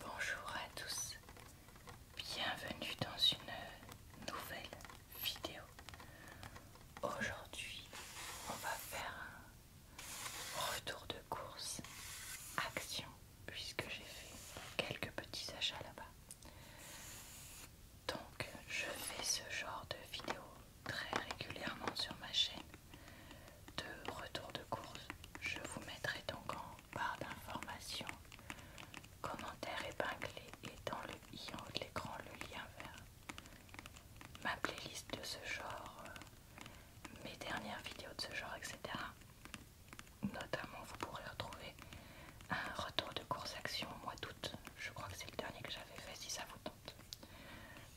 Bonjour à tous, bienvenue dans une nouvelle vidéo. Aujourd'hui, on va faire un retour de course action puisque j'ai fait quelques petits achats là-bas. Donc, je fais ce genre de vidéo très régulièrement sur ma chaîne de retour de course. Je vous mettrai donc en barre d'informations, commentaires épinglé et dans le i en haut de l'écran le lien vers ma playlist de ce genre, euh, mes dernières vidéos de ce genre, etc. Notamment, vous pourrez retrouver un retour de course action au mois d'août. Je crois que c'est le dernier que j'avais fait si ça vous tente.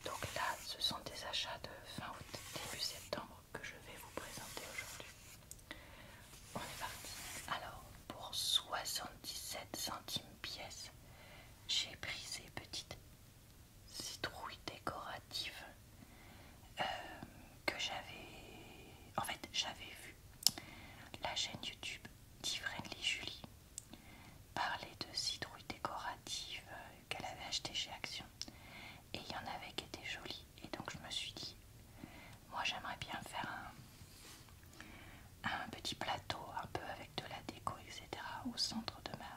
Donc là, ce sont des achats de fin août, début septembre que je vais vous présenter aujourd'hui. On est parti. Alors, pour 77 centimes pièce, j'ai pris ces petites citrouilles décoratives euh, que j'avais... En fait, j'avais vu la chaîne YouTube d'Ivrenly Julie parler de citrouilles décoratives euh, qu'elle avait achetées chez Action et il y en avait qui étaient jolies et donc je me suis dit moi j'aimerais bien faire un, petit plateau un peu avec de la déco etc au centre de ma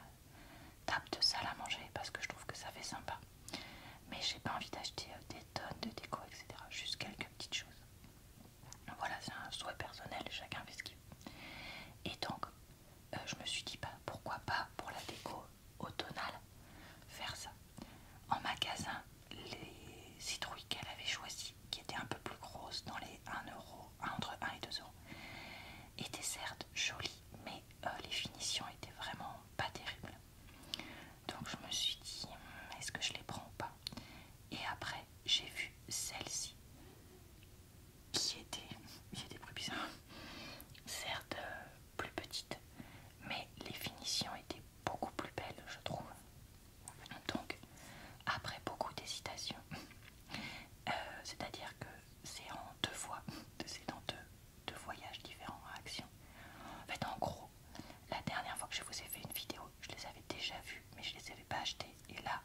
table de salle à manger parce que je trouve que ça fait sympa mais j'ai pas envie d'acheter euh, des tonnes de déco etc juste quelques petites choses voilà c'est un souhait personnel chacun fait ce qu'il veut et donc euh, je me suis dit bah, pourquoi pas pour la déco Autonale faire ça. En magasin, les citrouilles qu'elle avait choisies, qui étaient un peu plus grosses, dans les 1 euro, entre 1 et 2 euros, étaient certes jolies, mais euh, les finitions étaient vraiment pas terribles. Donc je me suis dit, hmm, est-ce que je les prends ou pas Et après, j'ai vu celle-ci qui étaient, plus certes euh, plus petite mais les finitions étaient beaucoup plus belles, je trouve. Donc, après beaucoup d'hésitation, euh, c'est-à-dire que c'est en deux fois, c'est dans deux, voyages différents à Action. En fait, en gros, la dernière fois que je vous ai fait une vidéo, je les avais déjà vues, mais je les avais pas achetées, et là,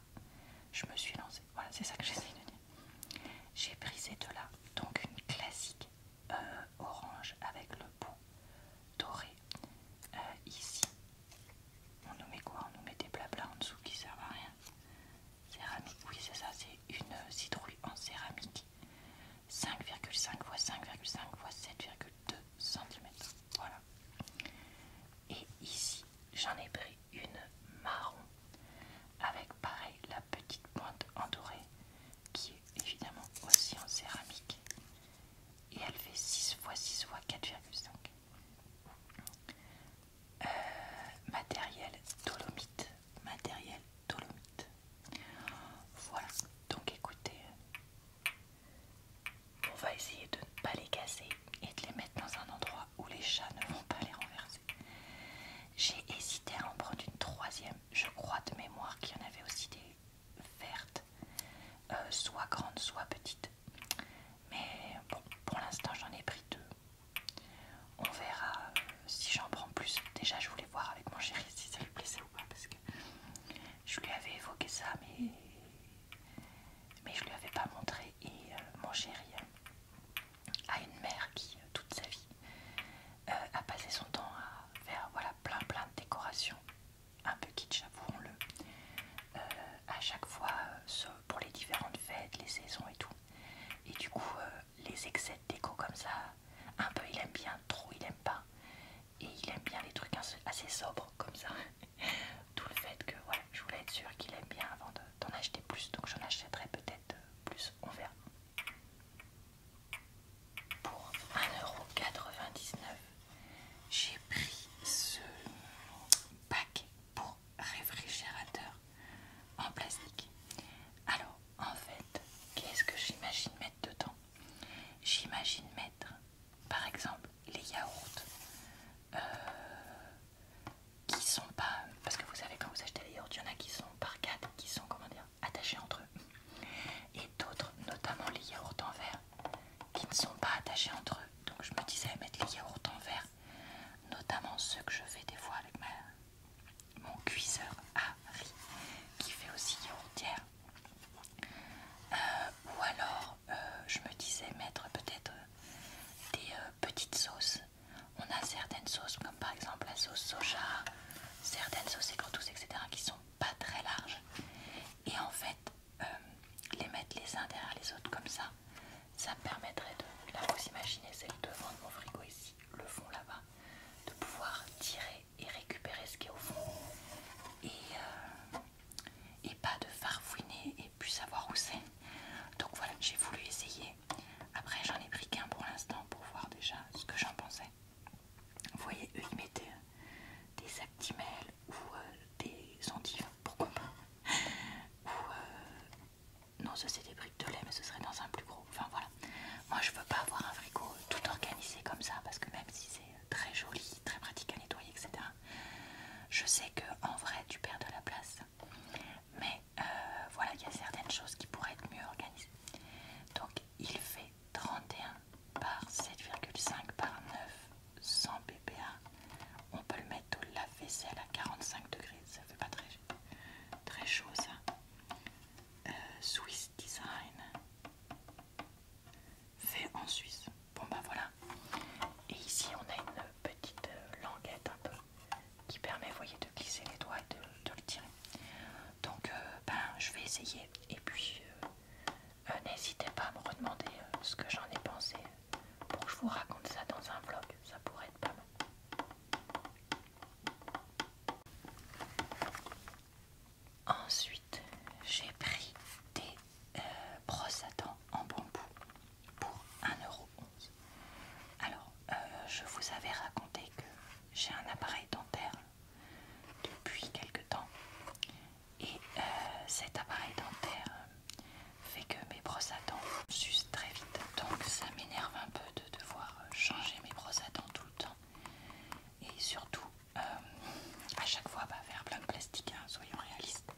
je me suis lancée. Voilà, c'est ça que j'essaye de dire. J'ai pris ces là donc une classique euh, orange avec le bout doré. Euh, ici, on nous met quoi On nous met des blabla en dessous qui servent à rien. Céramique, oui, c'est ça, c'est une citrouille en céramique. 5,5 x 5,5 x 7,2 cm. Voilà. Et ici, j'en ai pris une marron avec pareil la petite pointe en qui est évidemment aussi en céramique et elle fait 6 x 6 x 4,5 euh, matériel dolomite matériel dolomite voilà donc écoutez on va essayer de ne pas les casser et de les mettre dans un endroit où les chats ne vont pas les renverser j'ai hésité à en prendre une troisième. Je crois de mémoire qu'il y en avait aussi des vertes, euh, soit grandes, soit petites. Mais bon, pour l'instant, j'en ai pris deux. On verra euh, si j'en prends plus. Déjà, je voulais voir avec mon chéri si ça lui plaisait ou pas, parce que je lui avais évoqué ça, mais mais je lui avais pas montré. Et euh, mon chéri, à une mère qui, euh, toute sa vie, euh, a passé son temps à faire voilà, plein plein de décorations, un peu kitsch, avouons-le, euh, à chaque fois pour les différentes fêtes, les saisons et tout. Et du coup, les excès de déco comme ça, un peu il aime bien, trop il aime pas. Et il aime bien les trucs assez sobres comme ça. Tout le fait que, voilà, je voulais être sûre qu'il aime bien avant de d'en acheter plus, donc j'en achèterai peut-être euh, plus, on verra. Pour 1,99€, j'ai pris ce paquet pour réfrigérateur en plastique. Alors, en fait, qu'est-ce que j'imagine mettre dedans J'imagine mettre, par exemple, les yaourts, euh, qui sont pas. Parce que vous savez, quand vous achetez les yaourts, il y en a qui sont par quatre, qui sont, comment dire, attachés entre eux. Et d'autres, notamment les yaourts en verre, qui ne sont pas attachés entre eux. Donc je me disais, mettre les yaourts en verre, notamment ceux que je fais des fois avec mon cuiseur à riz, qui fait aussi yaourtière. Euh, ou alors, euh, je me disais mettre peut-être des euh, petites sauces on a certaines sauces comme par exemple la sauce soja, certaines sauces tous etc. qui sont pas très larges. Et en fait, euh, les mettre les uns derrière les autres comme ça, ça permettrait de, là vous imaginez, c'est le devant mon frigo ici, le fond là-bas, de pouvoir tirer et récupérer ce qui est au fond. Et, euh, et pas de farfouiner et puis savoir où c'est. Donc voilà, j'ai voulu essayer. Après, j'en ai pris qu'un pour l'instant pour voir déjà ce que j'en pensais. Vous voyez, eux ils mettaient euh, des actimels ou euh, des endives, pourquoi pas Ou euh, non, ce c'est des briques de lait, mais ce serait dans un plus gros. Enfin voilà, moi je veux pas avoir un frigo tout organisé comme ça parce que même si c'est très joli, très pratique à nettoyer, etc. Je sais que en vrai, tu perds de la place mais euh, voilà, il y a certaines choses qui pourraient être mieux organisées. Donc il fait 31 par 7,5 par 9 100 BPA. On peut le mettre au lave-vaisselle à 45 degrés, ça fait pas très, très chaud ça. Euh, Swiss Design fait en Suisse. Bon bah voilà. Et ici on a une petite euh, languette un peu qui permet, voyez, de glisser les doigts et de, le tirer. Donc, euh, ben, je vais essayer. Et puis, euh, euh, n'hésitez pas à me redemander ce que j'en ai pensé pour que je vous raconte ça dans un vlog. Ça pourrait être pas mal. Ensuite, j'ai pris des brosses à dents en bambou pour 1,11€. Alors, euh, je vous avais raconté que j'ai un appareil dentaire depuis quelque temps. Et euh, cet appareil dentaire fait que mes brosses à dents s'usent très vite. Donc ça m'énerve un peu de devoir changer mes brosses à dents tout le temps. Et surtout, euh, à chaque fois, bah, faire plein de plastique, hein, soyons réalistes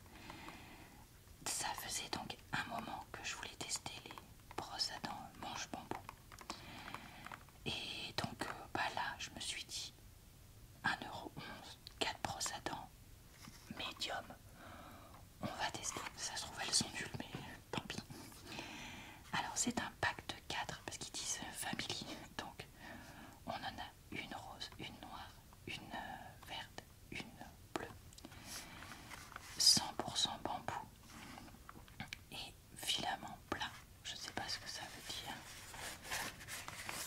ça faisait donc un moment que je voulais tester les brosses à dents manche bambou. Et donc euh, bah là, je me suis dit 1,11€, 4 brosses à dents, médium. On va tester. Ça se trouve, elles sont nulles, mais tant pis. Alors, c'est un pack de 4 parce qu'ils disent famille Donc, on en a une rose, une noire, une euh, verte une bleue 100% bambou et filament plat je sais pas ce que ça veut dire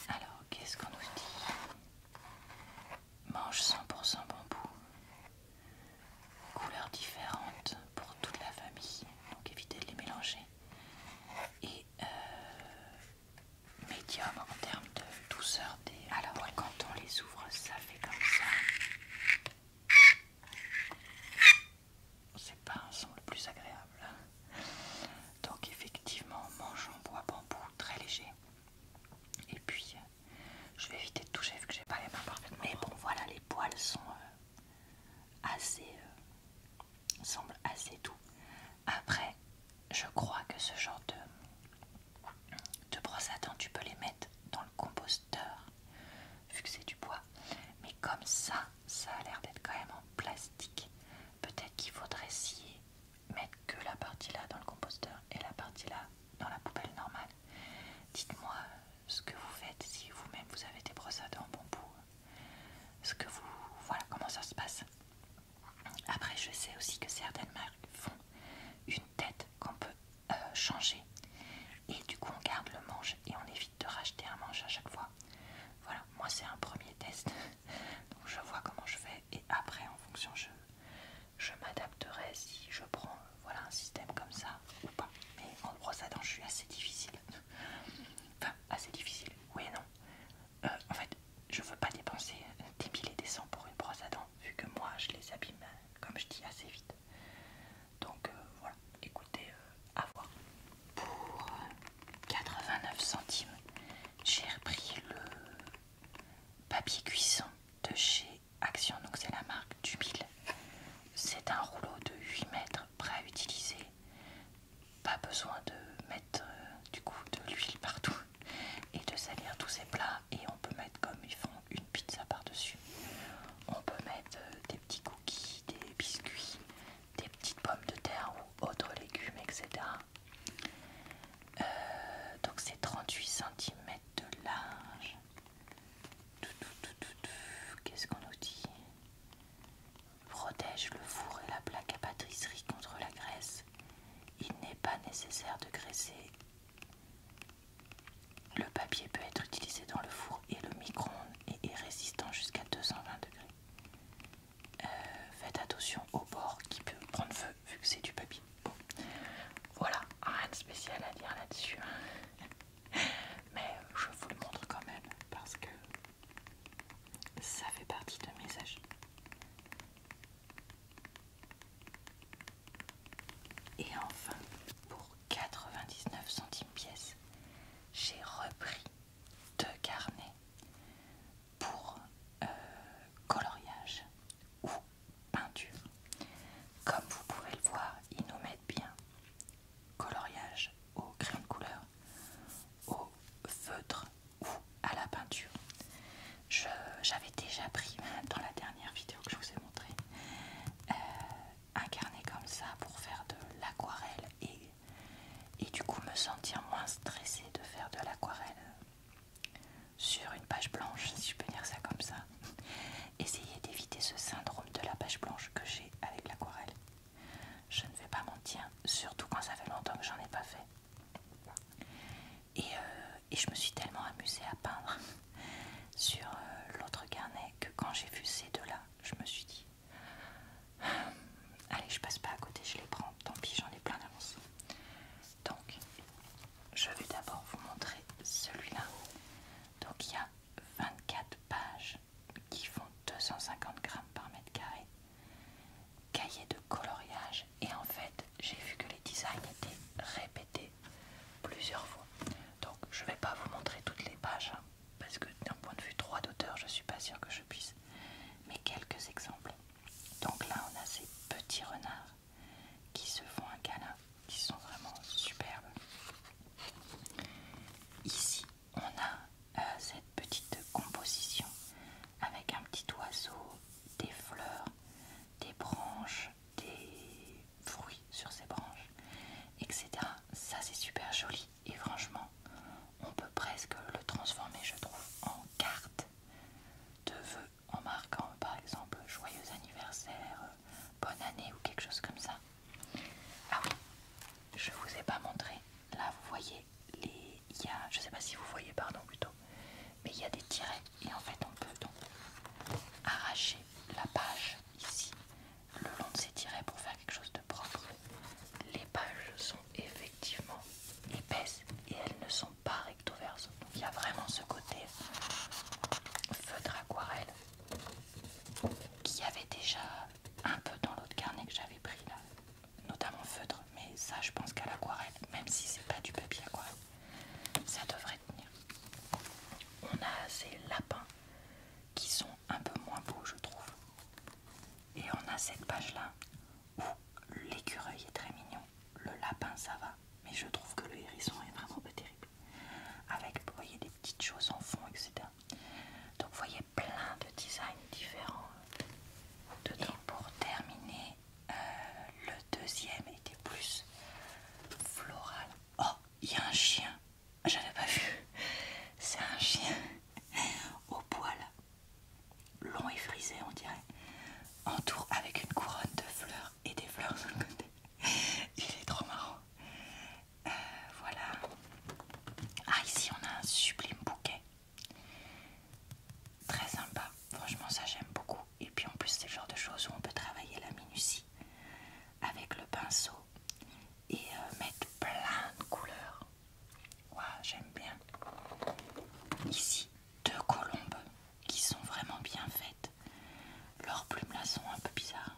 alors qu'est-ce qu'on nous dit mange 100% bambou couleurs différentes pour toute la famille donc évitez de les mélanger et euh, médium en termes de douceur des. Alors, quand on les ouvre, ça fait comme ça. C'est pas un son le plus agréable. Hein. Donc, effectivement, mange en bois bambou très léger. Et puis, je vais éviter de toucher vu que j'ai pas les mains parfaitement. Mais bon, voilà, les poils sont euh, assez. Euh, semblent assez doux. Après, je crois que ce genre de de brosses à dents, tu peux les mettre dans le composteur, vu que c'est du bois. Mais comme ça, ça a l'air d'être quand même en plastique. Peut-être qu'il faudrait de mettre que la partie là dans le composteur et la partie là dans la poubelle normale. Dites-moi euh, ce que vous faites si vous-même vous avez des brosses à dents bambou. Euh, ce que vous. Voilà comment ça se passe. Après, je sais aussi que certaines marques font une tête qu'on peut euh, changer. Et du coup, on garde le manche et on évite de racheter un manche à chaque fois. Voilà, moi c'est un premier test. Donc je vois comment je fais et après, en fonction, je, je m'adapterai si je prends euh, voilà, un système comme ça ou pas. Mais en brosse à dents, je suis assez difficile. Enfin, assez difficile, oui et non. Euh, en fait, je veux pas dépenser des milliers et des pour une brosse à dents vu que moi je les abîme, comme je dis, assez vite. Donc euh, voilà, écoutez, euh, à voir. Pour 89 centimes, j'ai repris le papier cuisson de chez Action, donc c'est la marque du C'est un rouleau de 8 mètres prêt à utiliser. Pas besoin de mettre euh, du coup de l'huile partout et de salir tous ces plats et on peut mettre comme ils font une pizza par-dessus. On peut mettre euh, des petits cookies, des biscuits, des petites pommes de terre ou autres légumes, etc. Euh, donc c'est 38 cm de large. Qu'est-ce qu'on nous dit Protège le four et la plaque à pâtisserie contre la graisse. Il n'est pas nécessaire de graisser. Le papier peut être utilisé dans le four et le micro-ondes et est résistant jusqu'à 220 degrés. Euh, faites attention au bord qui peut prendre feu vu que c'est du papier. Voilà, rien de spécial à dire là-dessus. Hein. Mais je vous le montre quand même parce que ça fait partie de mes achats. Et enfin, pour 99 centimes pièce, j'ai repris deux carnets pour euh, coloriage ou peinture. Comme vous pouvez le voir, ils nous mettent bien coloriage au crayon de couleur, au feutre ou à la peinture. J'avais déjà pris dans la dernière vidéo que je vous ai montrée euh, un carnet comme ça pour faire de l'aquarelle et, et du coup me sentir moins stressée de faire de l'aquarelle sur une page blanche, si je peux dire ça comme ça. essayer d'éviter ce syndrome de la page blanche que j'ai avec l'aquarelle. Je ne vais pas mentir, surtout quand ça fait longtemps que j'en ai pas fait. Euh, et, je me suis tellement amusée à peindre sur euh, l'autre carnet que quand j'ai vu ces deux-là, je me suis dit Allez, je passe pas à côté, je les prends, tant pis, j'en ai plein d'avance. Donc, je vais d'abord vous montrer celui-là. Donc, il y a 24 pages qui font 250 grammes par mètre carré cahier de coloriage et en fait j'ai vu que les designs étaient répétés plusieurs fois donc je vais pas vous montrer toutes les pages hein, parce que d'un point de vue droit d'auteur je suis pas sûre que je puisse mais quelques exemples donc là on a ces petits renards qui se font un câlin qui sont vraiment superbes ici on a euh, cette petite composition avec un petit oiseau des fleurs, des branches, des fruits sur ces branches, etc. Ça c'est super joli et franchement on peut presque le transformer je trouve en carte de vœux en marquant par exemple joyeux anniversaire, euh, bonne année ou quelque chose comme ça. Ah oui, je vous ai pas montré, là vous voyez je ne sais pas si vous voyez, pardon plutôt, mais il y a des tirets et en fait on peut donc arracher la page ici le long de ces tirets pour faire quelque chose de propre. Les pages sont effectivement épaisses et elles ne sont pas recto verso. Donc il y a vraiment ce côté feutre aquarelle qui avait déjà un peu dans l'autre carnet que j'avais pris là notamment feutre, mais ça je pense qu'à l'aquarelle, même si c'est pas du papier aquarelle, ça devrait tenir. On a ces lapins qui sont un peu moins beaux je trouve. Et on a cette page là où l'écureuil est très mignon, le lapin ça va, mais je trouve que le hérisson est vraiment pas terrible. Avec, vous voyez, des petites choses en fond, etc. Donc vous voyez plein de designs différents dedans. pour terminer, euh, le deuxième était plus floral. Oh, il y a un chien, j'avais pas vu. C'est un chien au poil long et frisé, on dirait, entour avec une couronne de fleurs et des fleurs sur le côté. Il est trop marrant. Euh, voilà. Ah, ici on a un sublime bouquet. Très sympa, franchement ça j'aime beaucoup. Et puis en plus c'est le genre de choses où on peut travailler la minutie avec le pinceau et euh, mettre plein de couleurs. Waouh, j'aime bien. Ici, deux colombes qui sont vraiment bien faites. Leurs plumes là sont un peu bizarres.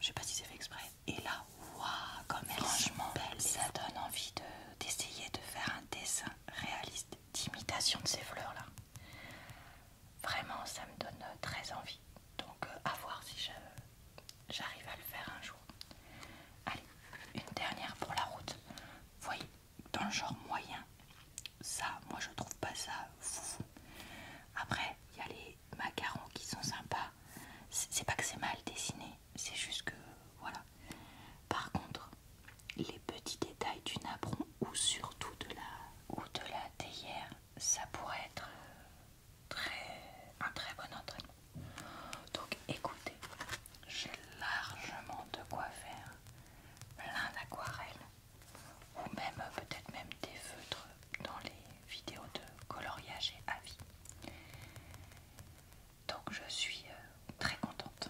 Je sais pas si c'est fait exprès. Et là, waouh, comme elles sont Ça donne envie d'essayer de faire un dessin réaliste d'imitation de ces fleurs là. Vraiment, ça me donne très envie. Donc, euh, à voir si j'arrive à le faire un jour. Allez, une dernière pour la route. voyez, dans le genre moyen, ça, moi je trouve pas ça fou. Après, il y a les macarons qui sont sympas. C'est pas que c'est mal dessiné, c'est juste que voilà. Par contre, les petits détails du nabron, ou surtout de la, ou de la théière, ça pourrait être euh, très, un très bon entraînement. Donc écoutez, j'ai largement de quoi faire plein d'aquarelles ou même peut-être même des feutres dans les vidéos de coloriage et avis. Donc je suis euh, très contente.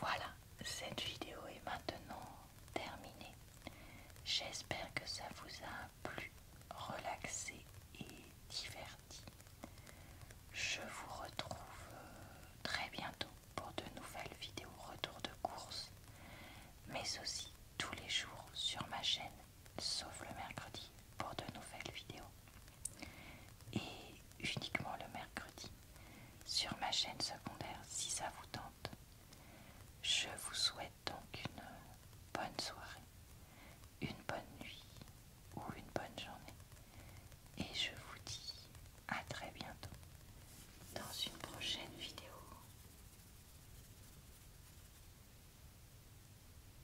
Voilà, cette vidéo est maintenant terminée. J'espère que ça vous a plu, relaxé et diverti. Je vous retrouve euh, très bientôt pour de nouvelles vidéos retour de course, mais aussi tous les jours sur ma chaîne sauf le mercredi pour de nouvelles vidéos. Et uniquement le mercredi sur ma chaîne secondaire si ça vous tente. Je vous souhaite donc une bonne soirée, une bonne nuit ou une bonne journée. Et je vous dis à très bientôt dans une prochaine vidéo.